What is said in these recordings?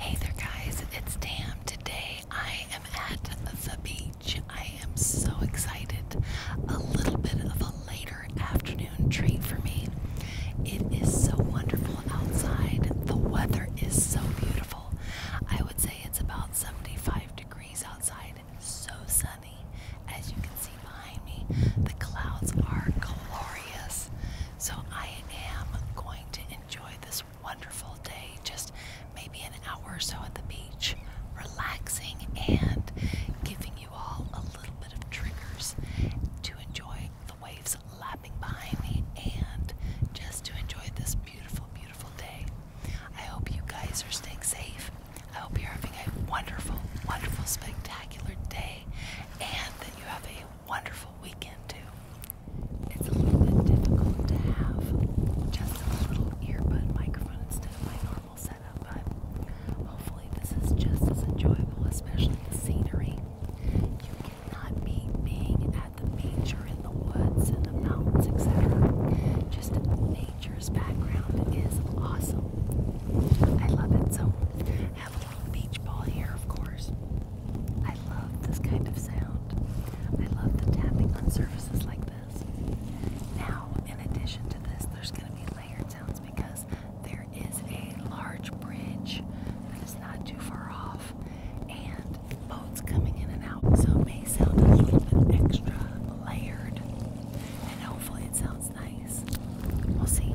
Hey there guys, it's Tam. Today I am at the beach. I am so excited. A little bit of a later afternoon treat for me. It is so wonderful outside. The weather is so beautiful. I would say it's about 75 degrees outside. So sunny. As you can see behind me, the clouds are glorious. So I am going to enjoy this wonderful day, just maybe an hour or so at the beach, relaxing and giving you all a little bit of triggers to enjoy the waves lapping behind me and just to enjoy this beautiful, beautiful day. I hope you guys are staying safe. I hope you're having a wonderful, wonderful, spectacular day and that you have a wonderful weekend, too. It's a little bit difficult to have just a little earbud microphone instead of my normal setup, but hopefully, this is just as enjoyable, especially the scenery. You cannot beat being at the beach or in the woods and the mountains, etc. Just nature's background is awesome. I love it so a little beach ball here, of course. I love this kind of sound. I love the tapping on surfaces like this. Now, in addition to this, there's going to be layered sounds because there is a large bridge that is not too far off and boats coming in and out. So it may sound a little bit extra layered and hopefully it sounds nice. We'll see.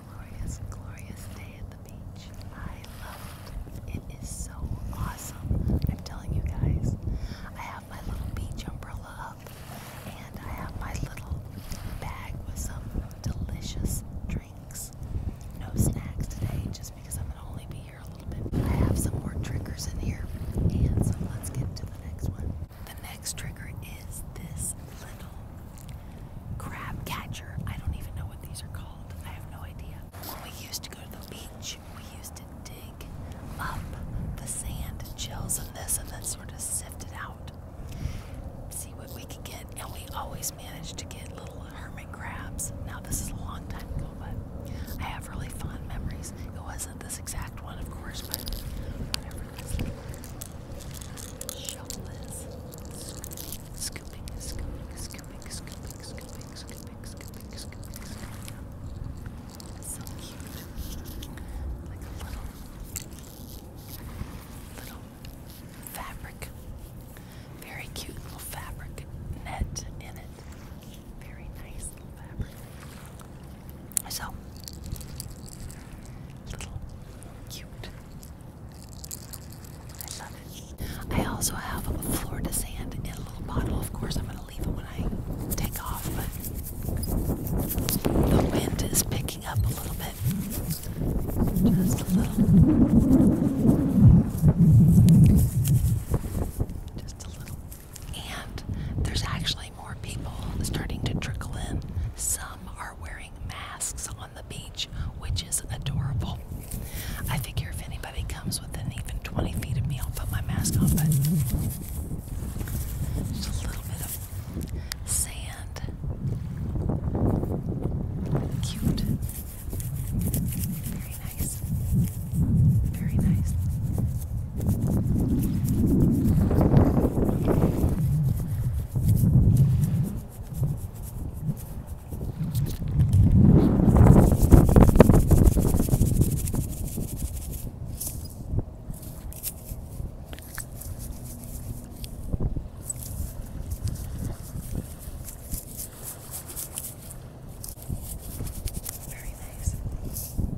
glorious, glorious day at the beach. I love it. It is so awesome. I'm telling you guys, I have my little beach umbrella up and I have my little bag with some delicious drinks. No snacks today just because I'm going to only be here a little bit. I have some more triggers in here and so let's get to the next one. The next trigger is this little crab catcher. I don't even know what these are called. I have no idea. When we used to go to the beach, we used to dig up the sand, and chills, and this, and then sort of sift it out, see what we could get. And we always managed to get little hermit crabs. Now, this is a long time ago, but I have really fond memories. It wasn't this exact one, of course, but Shoulders. scooping, scooping, scooping, scooping, scooping, scooping, scooping, scooping. So cute. Like a little, little fabric. Very cute little fabric net in it. Very nice little fabric. So, little cute I also have a Florida sand in a little bottle. Of course, I'm going to leave it when I take off, but the wind is picking up a little bit. Just a little. Just a little. And there's actually more people starting to trickle in. Some are wearing masks on the beach, which is adorable. I figure if anybody comes within even 20 feet of me, I'll put my mask on, but just a little bit of sand. Cute. Very nice. Very nice. Very nice. So nice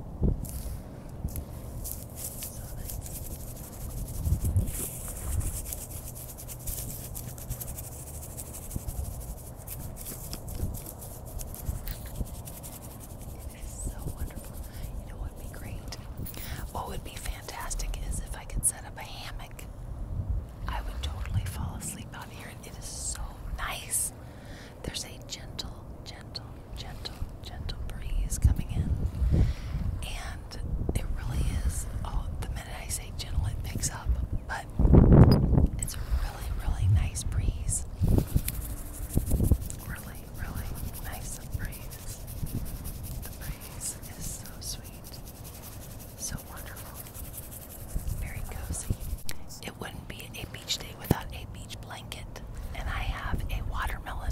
what would be great? What would be fantastic is if I could set up a hammock. I would totally fall asleep out here. It is so nice. There's a gentle, gentle, gentle, gentle breeze coming in it really is. Oh, the minute I say gentle, it picks up, but it's a really, really nice breeze. Really, really nice breeze. The breeze is so sweet, so wonderful, very cozy. It wouldn't be a beach day without a beach blanket, and I have a watermelon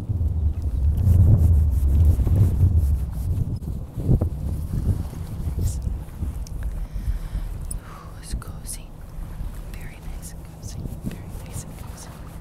Nice. Ooh, it's cozy. Very nice and cozy. Very nice and cozy. Little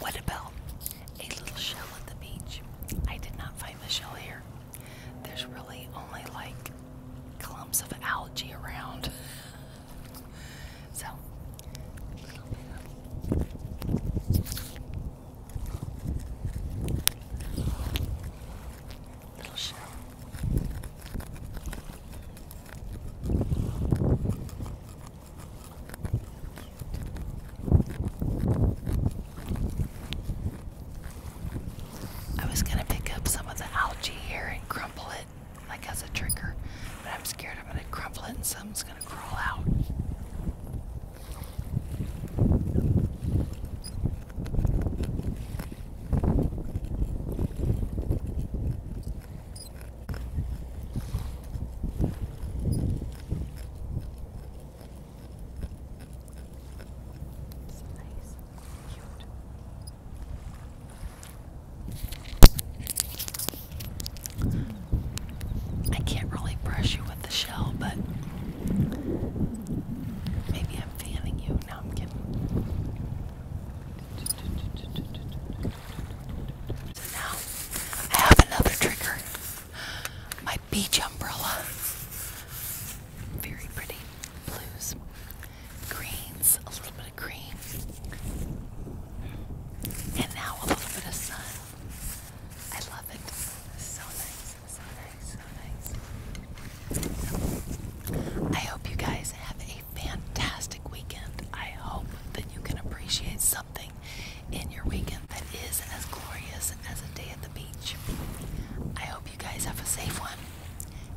What about a little shell at the beach? I did not find the shell here. There's really only like clumps of algae around. so, little shell. I was gonna pick up some of the algae here and crumple it, like as a trigger, but I'm scared I'm gonna crumple it and something's gonna crawl out. It's nice and cute. I can't really brush you with the shell, but maybe I'm fanning you. Now I'm kidding now I have another trigger. My beach umbrella. Very pretty. Blues, greens, a little bit of green. And now a little bit of sun. I love it. So nice, so nice, so nice. I hope you guys have a fantastic weekend. I hope that you can appreciate sun in your weekend that is as glorious as a day at the beach. I hope you guys have a safe one,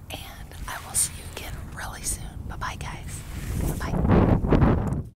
and I will see you again really soon. Bye bye, guys. bye.